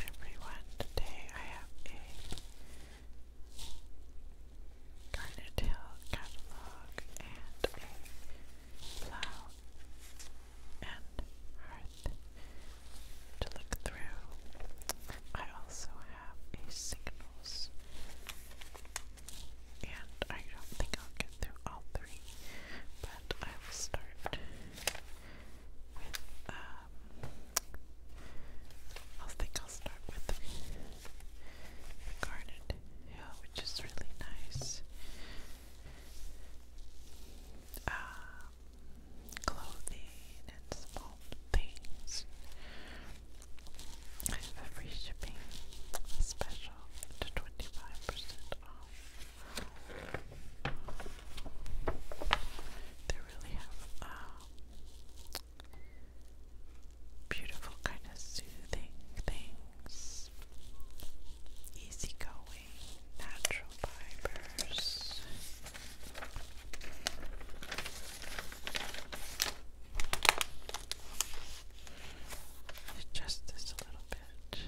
everyone, today I have a Garnet Hill catalog and a plow and hearth to look through. I also have a signals and I don't think I'll through all three, but I will start with, um, I think I'll start with the Garnet Hill, which is really nice. Um, clothing and small things. free shipping special to 25% off. They really have um, beautiful, kind of soothing things, easygoing, natural fibers. Adjust this a little bit.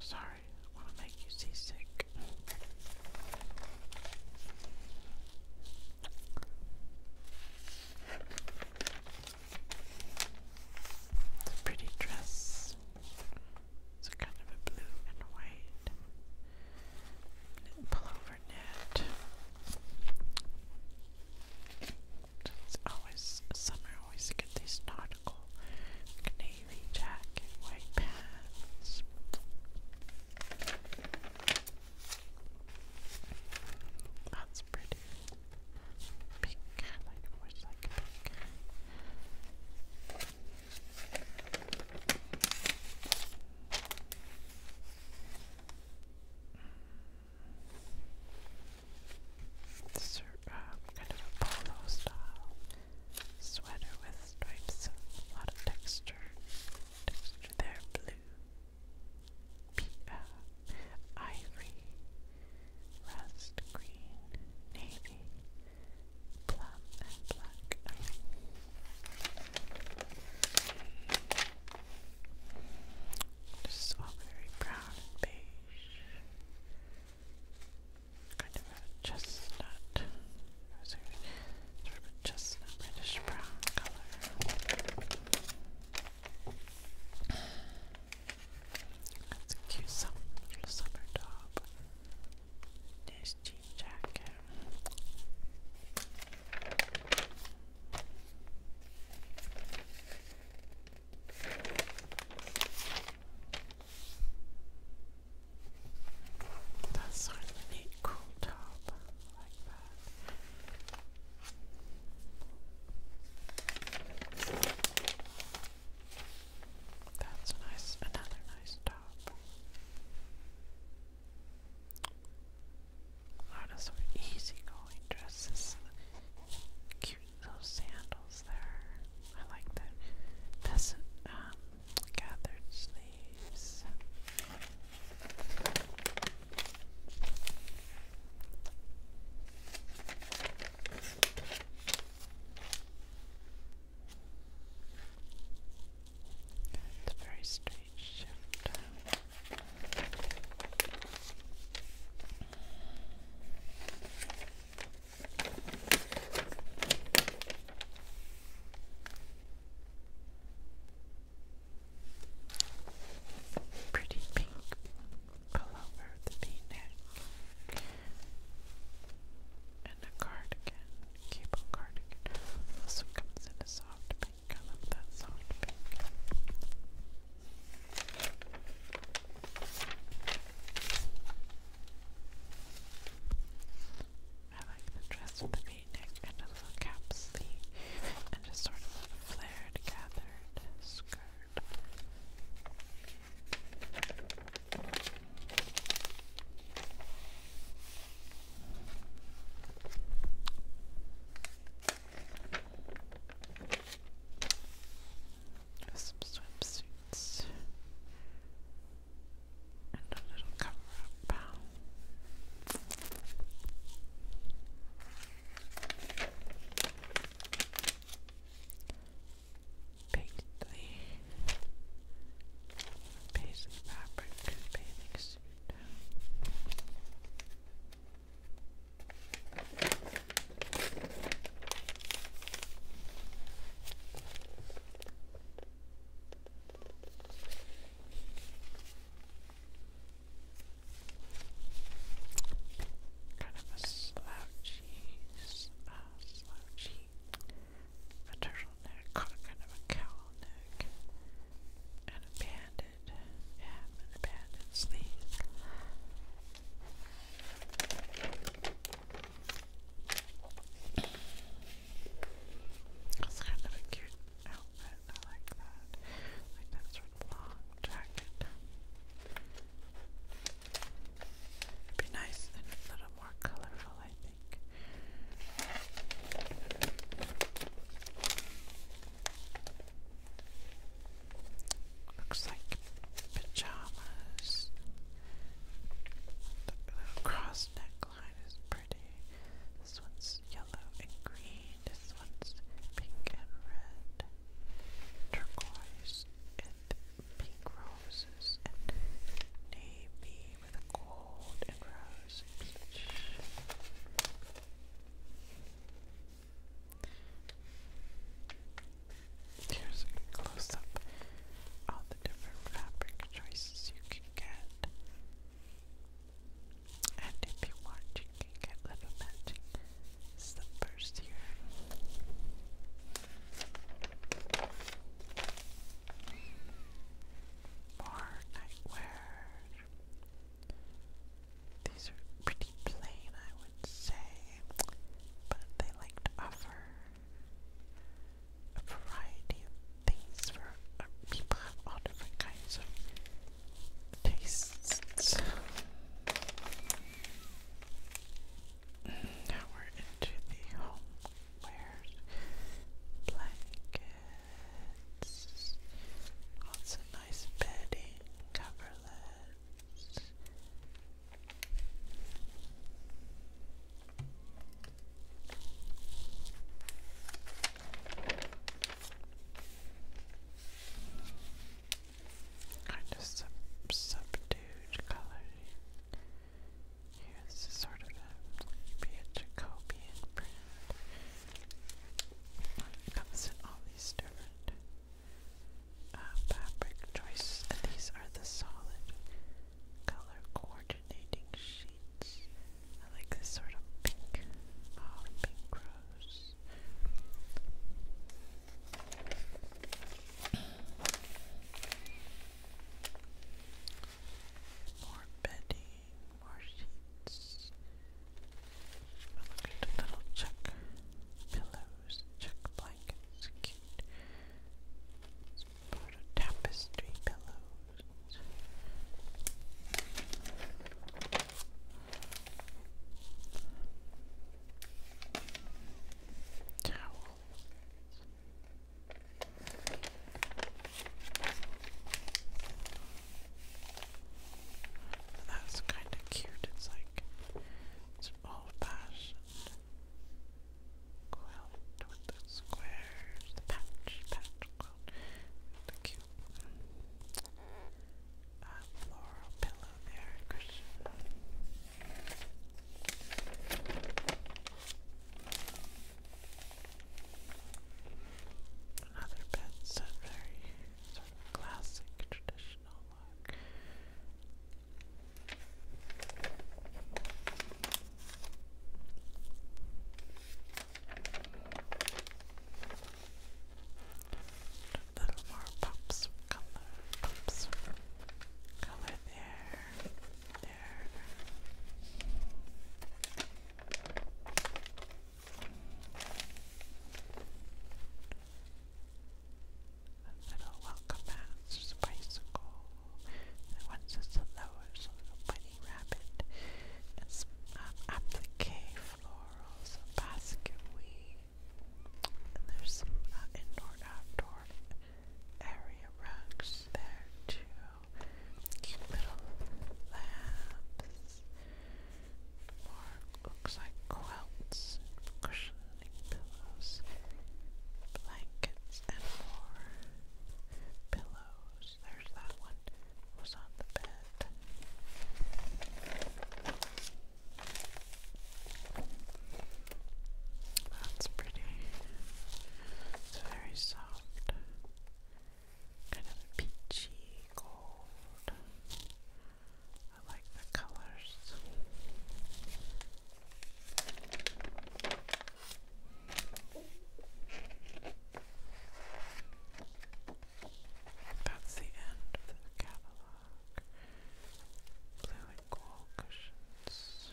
Sorry, I want to make you seasick. It's a pretty dress. It's kind of a blue and white pullover net. It's always summer. Always get these nautical, navy jacket, white pants. That's pretty. Pink. I always like pink. Mm. Uh, kind of a polo style sweater with stripes, a lot of texture. Texture there, blue, P uh, ivory, rust green, navy, plum, and black. This all very brown and beige. Kind of a chestnut. Sort of a chestnut reddish brown color. That's a cute summer, top. Nice jean jacket. That's sort a cool top. like that. That's nice, another nice top. A lot of sort of easygoing dresses. Cute little sandals there. I like the peasant um, gathered sleeves. It's a very straight shift. Pretty pink pullover with a v-neck and a cardigan, cable cardigan. Also comes in a soft pink. I love that soft pink. I like the dress the v-neck and a little cap sleeve and a sort of flared gathered skirt some swimsuits and a little cover-up. Paisley, paisley fabric, bathing suit. Kind of a slouchy, uh, slouchy, a turtleneck, kind of a cowl neck, and a bandage good. Yeah, I'm gonna kind of a cute outfit. I like that. Like that sort of long jacket. would be nice and a little more colorful, I think. Looks like pajamas. The cross neckline is pretty. This one's yellow and green. This one's pink and red. Turquoise and pink roses and navy with gold and rose peach. Here's a close up all the different fabric choices you can get. And if you want, you can get little matching slippers here. More nightwear. These are pretty plain, I would say, but they like to offer a variety of things for uh, people have all different kinds of tastes. Now we're into the homewares, blankets, lots of nice bedding, cup Nevertheless, kind of sub subdued coloring. Here's sort of a maybe Jacobian print. It comes in all these different uh, fabric choices, and these are the solid color coordinating sheets. I like this sort of pink, uh, pink rose. More bedding, more sheets. Look at the little check pillows, check blankets, cute. It's part tapestry pillows. Towels. And that's kind of cute. It's like it's old-fashioned quilt with the squares, the patch, patch quilt, the cute floral uh, pillow there, Another bed set very sort of classic, traditional look. A little more pops color, pops color there, there. And little welcome mats, bicycle. And once a little bunny rabbit. applique um, florals, basket weed. And there's some uh, indoor outdoor area rugs there too. little lamps more looks like quilts, cushioning pillows, blankets, and more pillows. There's that one was on the bed. That's pretty. It's very soft kind of peachy gold. I like the colors. That's the end of the catalog. Blue and gold cushions.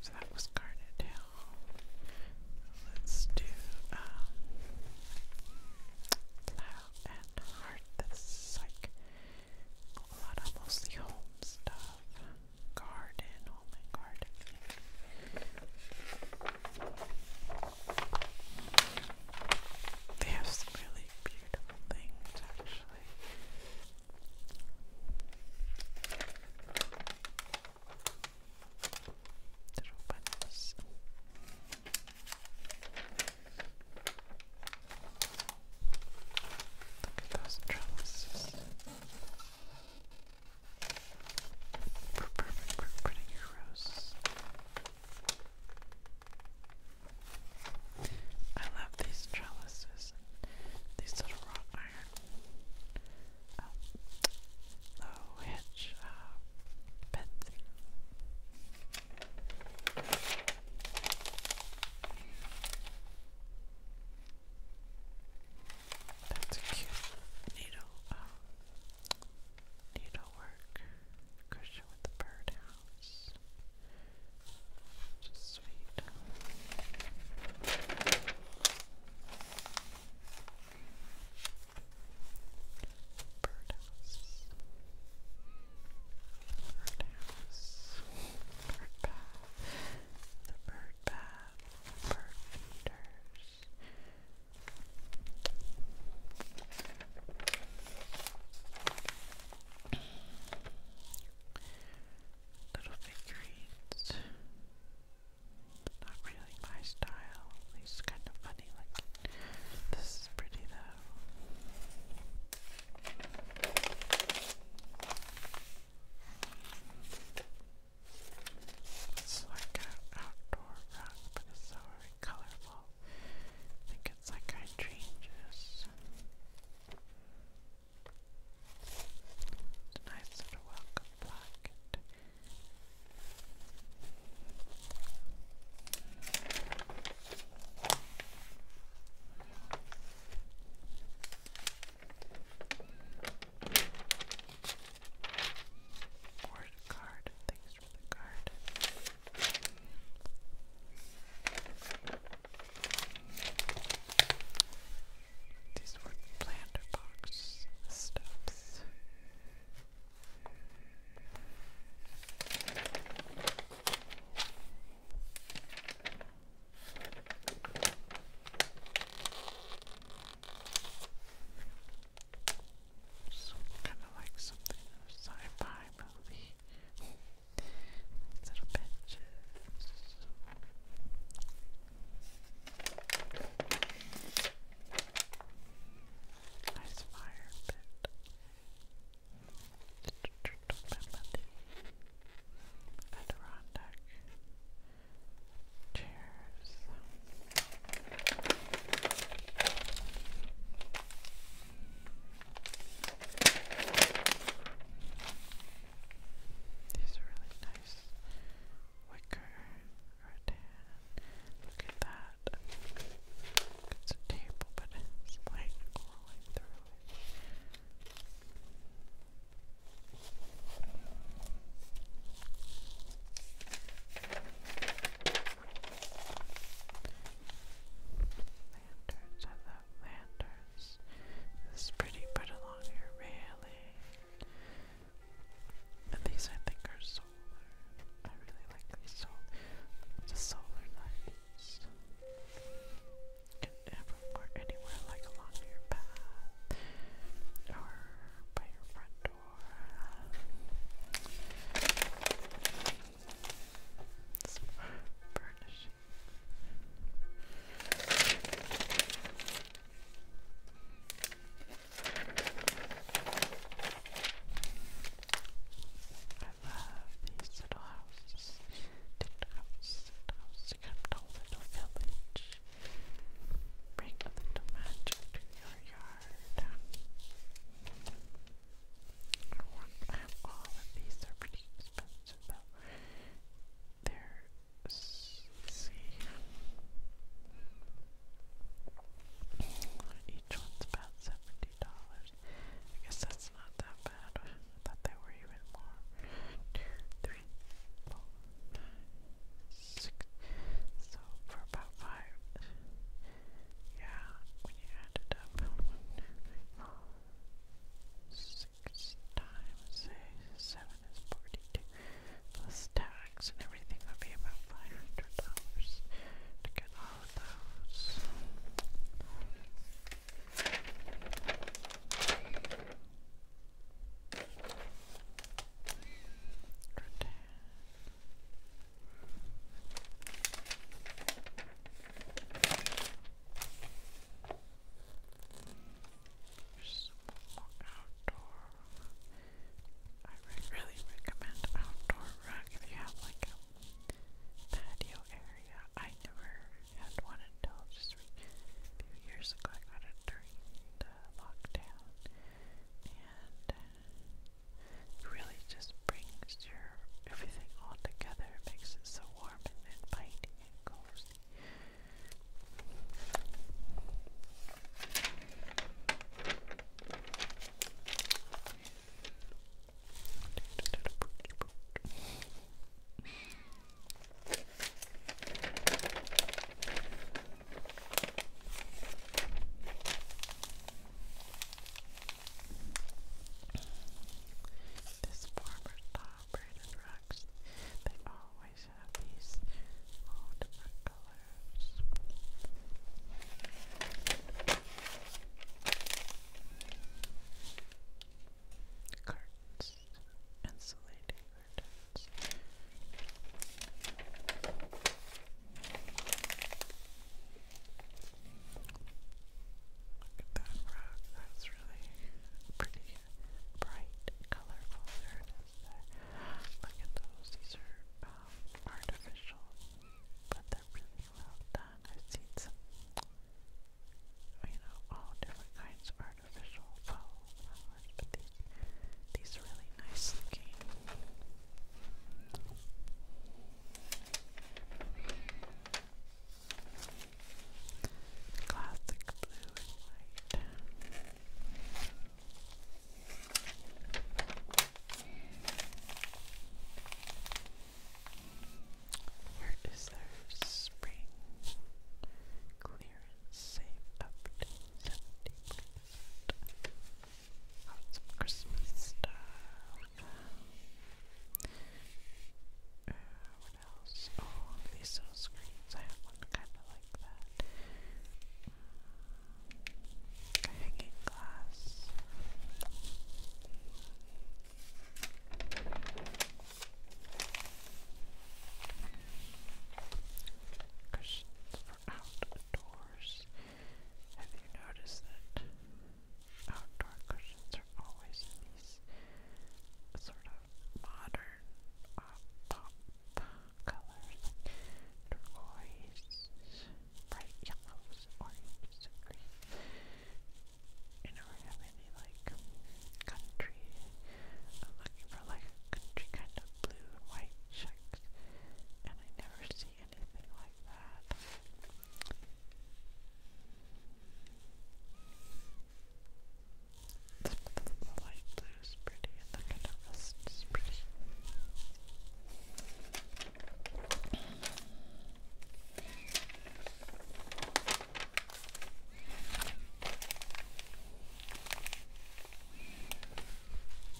So that was Garnet Hill. Let's do um, and Heart. That's like a lot of mostly home stuff. Garden, home oh and garden. They have some really beautiful things little buttons. those trellises. we perfect for putting your roses. I love these trellises and these little wrought iron low hedge uh, bed That's a cute needle, um, needlework cushion with the birdhouse. Sweet. Birdhouse. Birdhouse. Bird bath. The bird bath. Bird feeders little figurines. Not really my style. These kind of funny like this is pretty though. It's like an outdoor rug, but it's so very colorful. I think it's like hydrangeas. It's a nice little welcome blanket. card. Thanks for the card. These were planter box stuffs. kind of like something in a sci-fi movie. These little Nice fire pit. Adirondack chairs. These are really nice wicker rattan. Look at that. It's a table, but it's light glowing through it. Lanterns, I love lanterns. This is pretty, put along your railing. And these I think are solar. I really like these solar, lights. can have them anywhere, like along your path or by your front door. Some furniture. I love these little houses. Different houses, little houses, kind little village. Bring a little magic to your yard. I want all of these, somehow. There, let's see. Each one's about seventy dollars. I guess that's not that bad. I thought they were even more. One, two, three, four, nine, six. So for about five. Yeah, when you add it up, six times seven is forty-two, plus tax and everything would be about five hundred dollars to get all of those. Good. There's outdoor. I really recommend outdoor rug if you have like a patio area. I never had one until just a few years ago. I got it during the lockdown, and it really just brings your everything all together. makes it so warm and inviting. It goes this farmer's dog calibrated rocks. They always have these all different colors. Curtains, insulating curtains. that rock, that's this really pretty, bright, colorful. Look at those. These are um, artificial, but they're really well done. I've seen you know, all different kinds of artificial flowers, but these, these really nice looking. Classic blue and white. Where is their spring clearance save up some Christmas stuff. Uh, what else? Oh, these little screens. I have one kind of like that. Mm, hanging glass. Cushions for outdoors. Have you noticed that outdoor cushions are always in these sort of modern uh, pop colors, turquoise, bright yellows, oranges, greens. You never have like country. I'm looking for like country kind of blue and white checks, and I never see anything like that. The light blue is pretty and the canvas is pretty.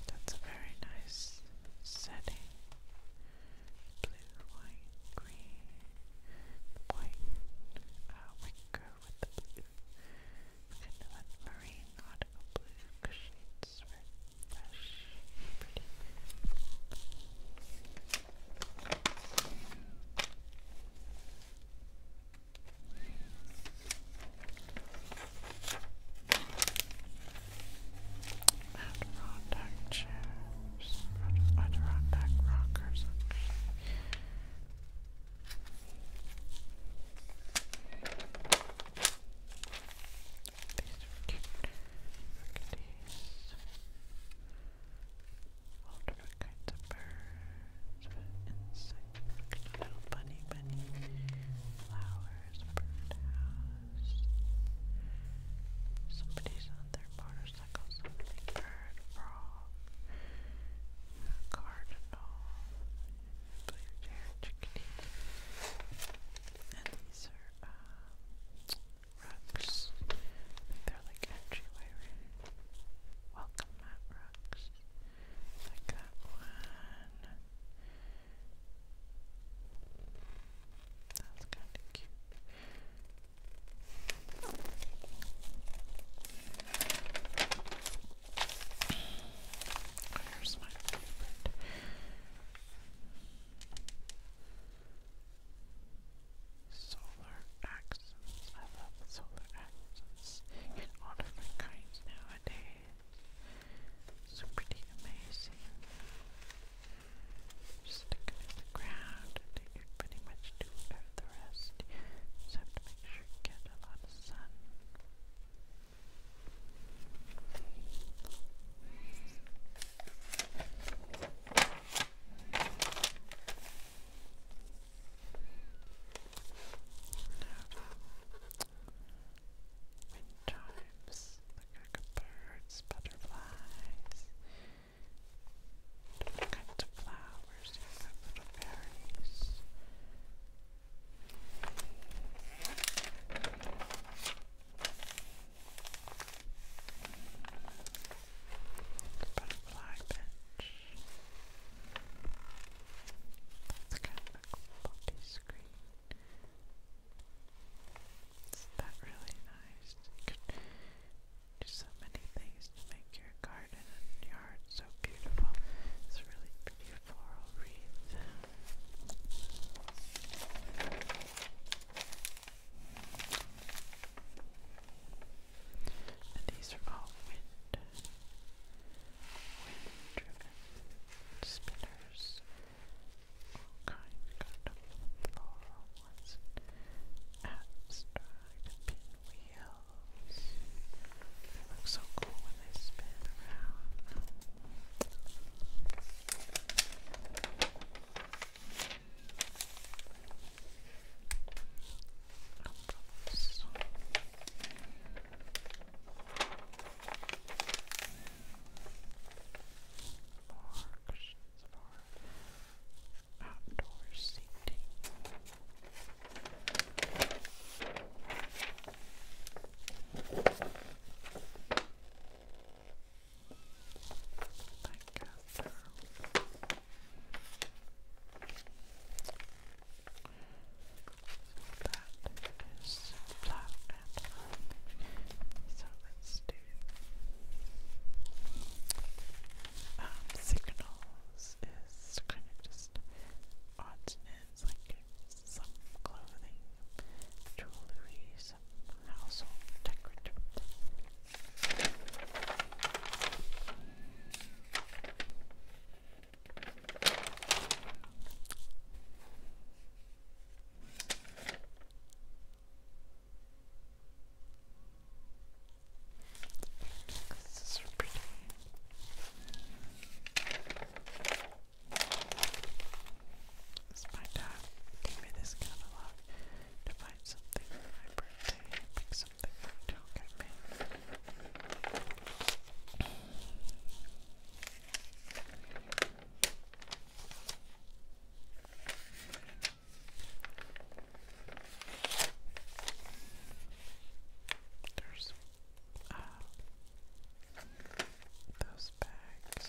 That's a very nice setting. Blue, white, green. The white, uh, white with the blue. Kind of that marine nautical blue shades were fresh, pretty. And raw dark Adirondack rockers. These are cute. Look at these. All different kinds of birds, insects, little bunny bunny, flowers, birdhouse. Somebody's on their motorcycle honeysuckle, bird, frog, cardinal, blue chair, chickadee, and these are um, they're like entryway. Welcome, Matt Rocks. Like that one. That's kind of cute. Here's my Solar accents. I love solar accents. You get all different kinds nowadays. It's pretty amazing. Just stick it in the ground you pretty much do the rest. You make sure get a lot of sun. Now, wind look like birds, butterflies, Different kinds of flowers, little berries. Butterfly bench. That's kind of a quality screen. Is that really nice? You do so many things to make your garden and yard so beautiful. It's really pretty floral wreath. And these are all wind, wind-driven spinners, all kinds of floral was abstract pinwheels. They look so cool when they spin around. Oops for outdoor seating. that is flat So let's do um, signals is kind of just odds like some clothing, jewelry, some household decorative this is pretty. It's my dad gave me this catalog to find something for pick something to look at there's uh, those bags.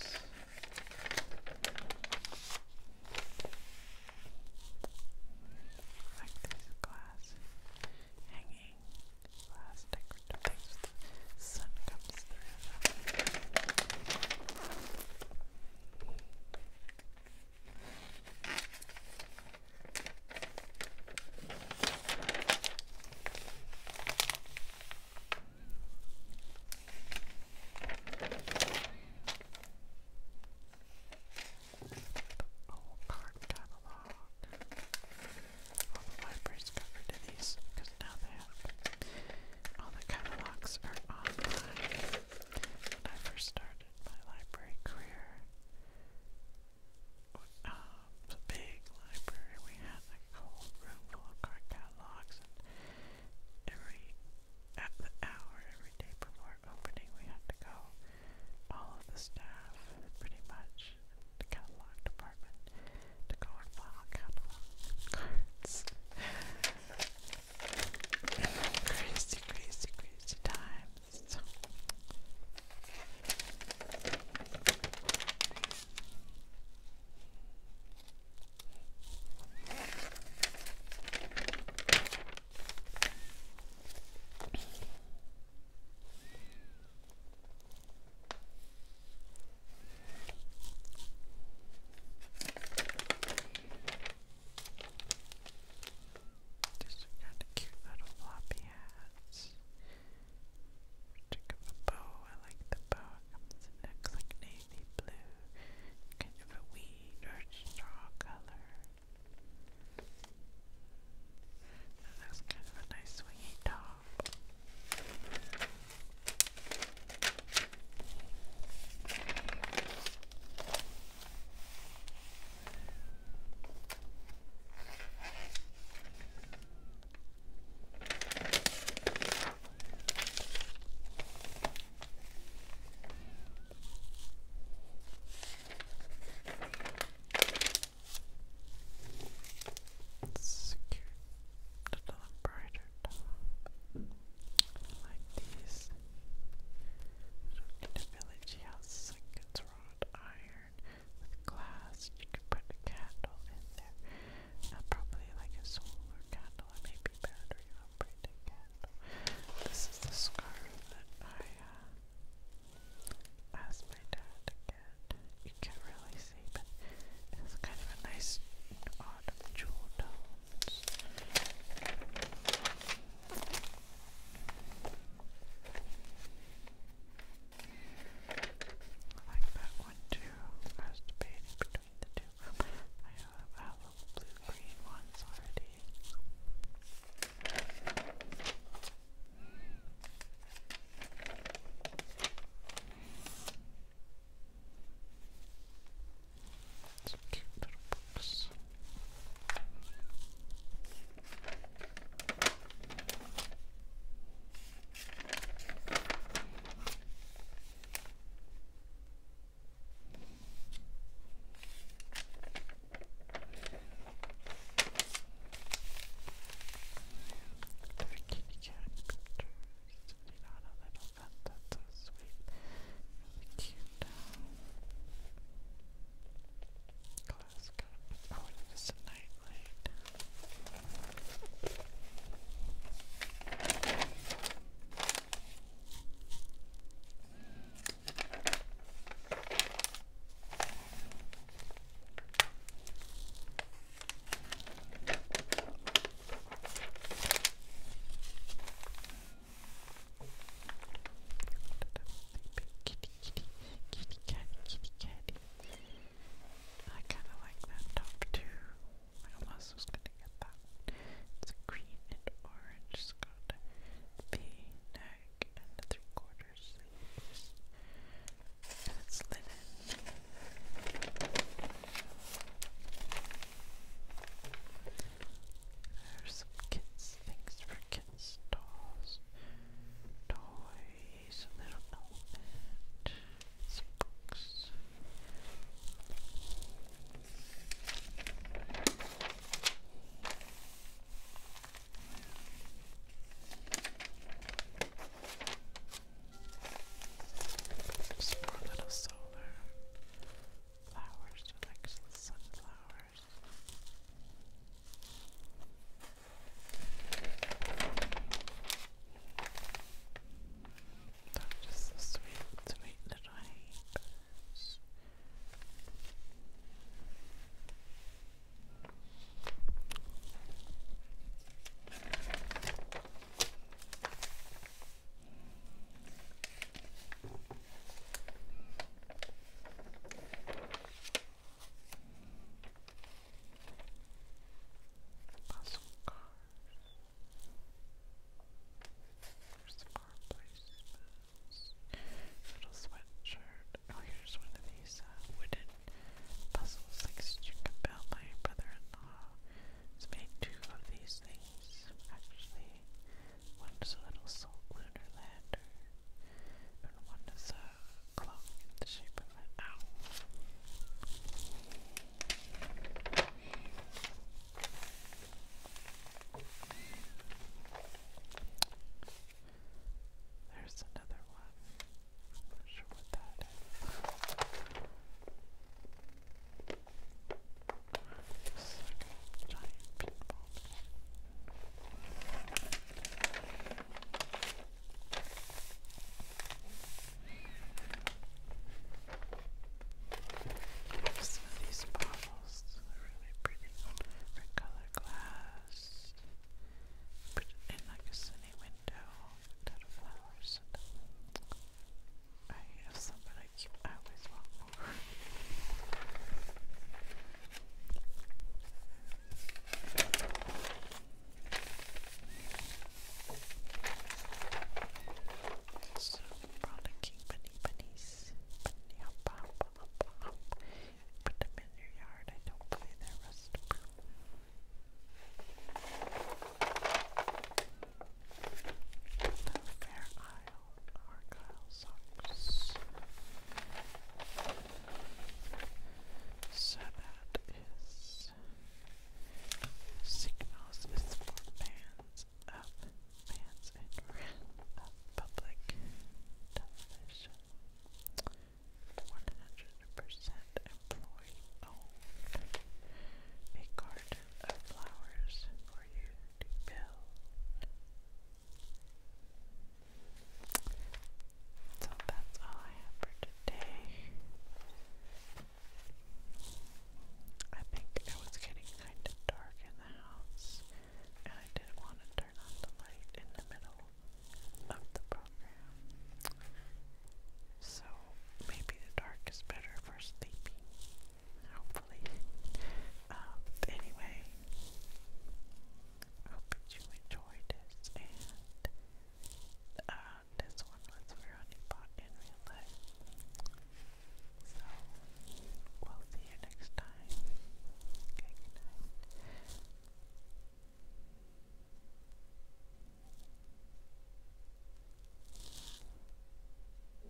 Like these glass hanging glass things sun comes through whole card catalog. All the libraries got rid these because now they have all the catalogs are online. When I first started my library career, uh, the big library, we had a whole room full of card catalogs, and every at the hour, every day before opening, we had to go. All of the staff, pretty much, the catalog department, to go and file catalog cards. Crazy, crazy, crazy times. These are cute little floppy hats. Check of a bow. I like the bow. It comes like navy blue. Kind of a weed or straw color. And that's kind of a nice swingy top. It's another brighter time like this. In village he has seconds wrought iron with glass. You could put a candle in there. Uh, probably like a solar candle or maybe battery operated candle. This is the scarf that I uh, asked my dad to get. You can't really see, but it's kind of a nice autumn jewel tone. I like that one too. I between the two. I have a little blue green ones already. It's a cute little box. Kitty cat pictures, you know, a little elephant. That's so sweet. Really cute. Glass cup. Oh, it is a night light. Kitty, kitty, I kind of like that top too. I almost was gonna get that. It's green and orange. It's got the neck and the three quarters. And it's linen. There's some kids, things for kids, dolls, toys, a little element, some books. Some more little solar flowers are like sunflowers. They're the sweet, sweet little hairs. Puzzle cars. Here's the car placements. Little sweatshirt. Oh, here's one of these wooden puzzles like Stuka Bell. My brother in law has made two of these things, actually. One's a little salt lunar lander, and one is a clock the shape of an owl. There's another one. not sure what that is. It's like giant pinball. Some of these bottles are really pretty. Different glass. Put it in like a sunny window. Dead flowers. I have somebody like I So rollicking bunny bunnies. Bunny hop Put them in your yard and hopefully they're rust the Fair Isle So that is signals is for fans of fans and friends of public television. One hundred percent employee owned. A card of flowers for you to build. So that's all I have for today. I think it was getting kind of dark in the house, and I didn't want to turn on the light in the middle of the program. So maybe the dark is better for sleeping hopefully. Um, anyway, hope that you enjoyed this, and uh, this one was really bought in real life. So, we'll see you next time. Okay, good night.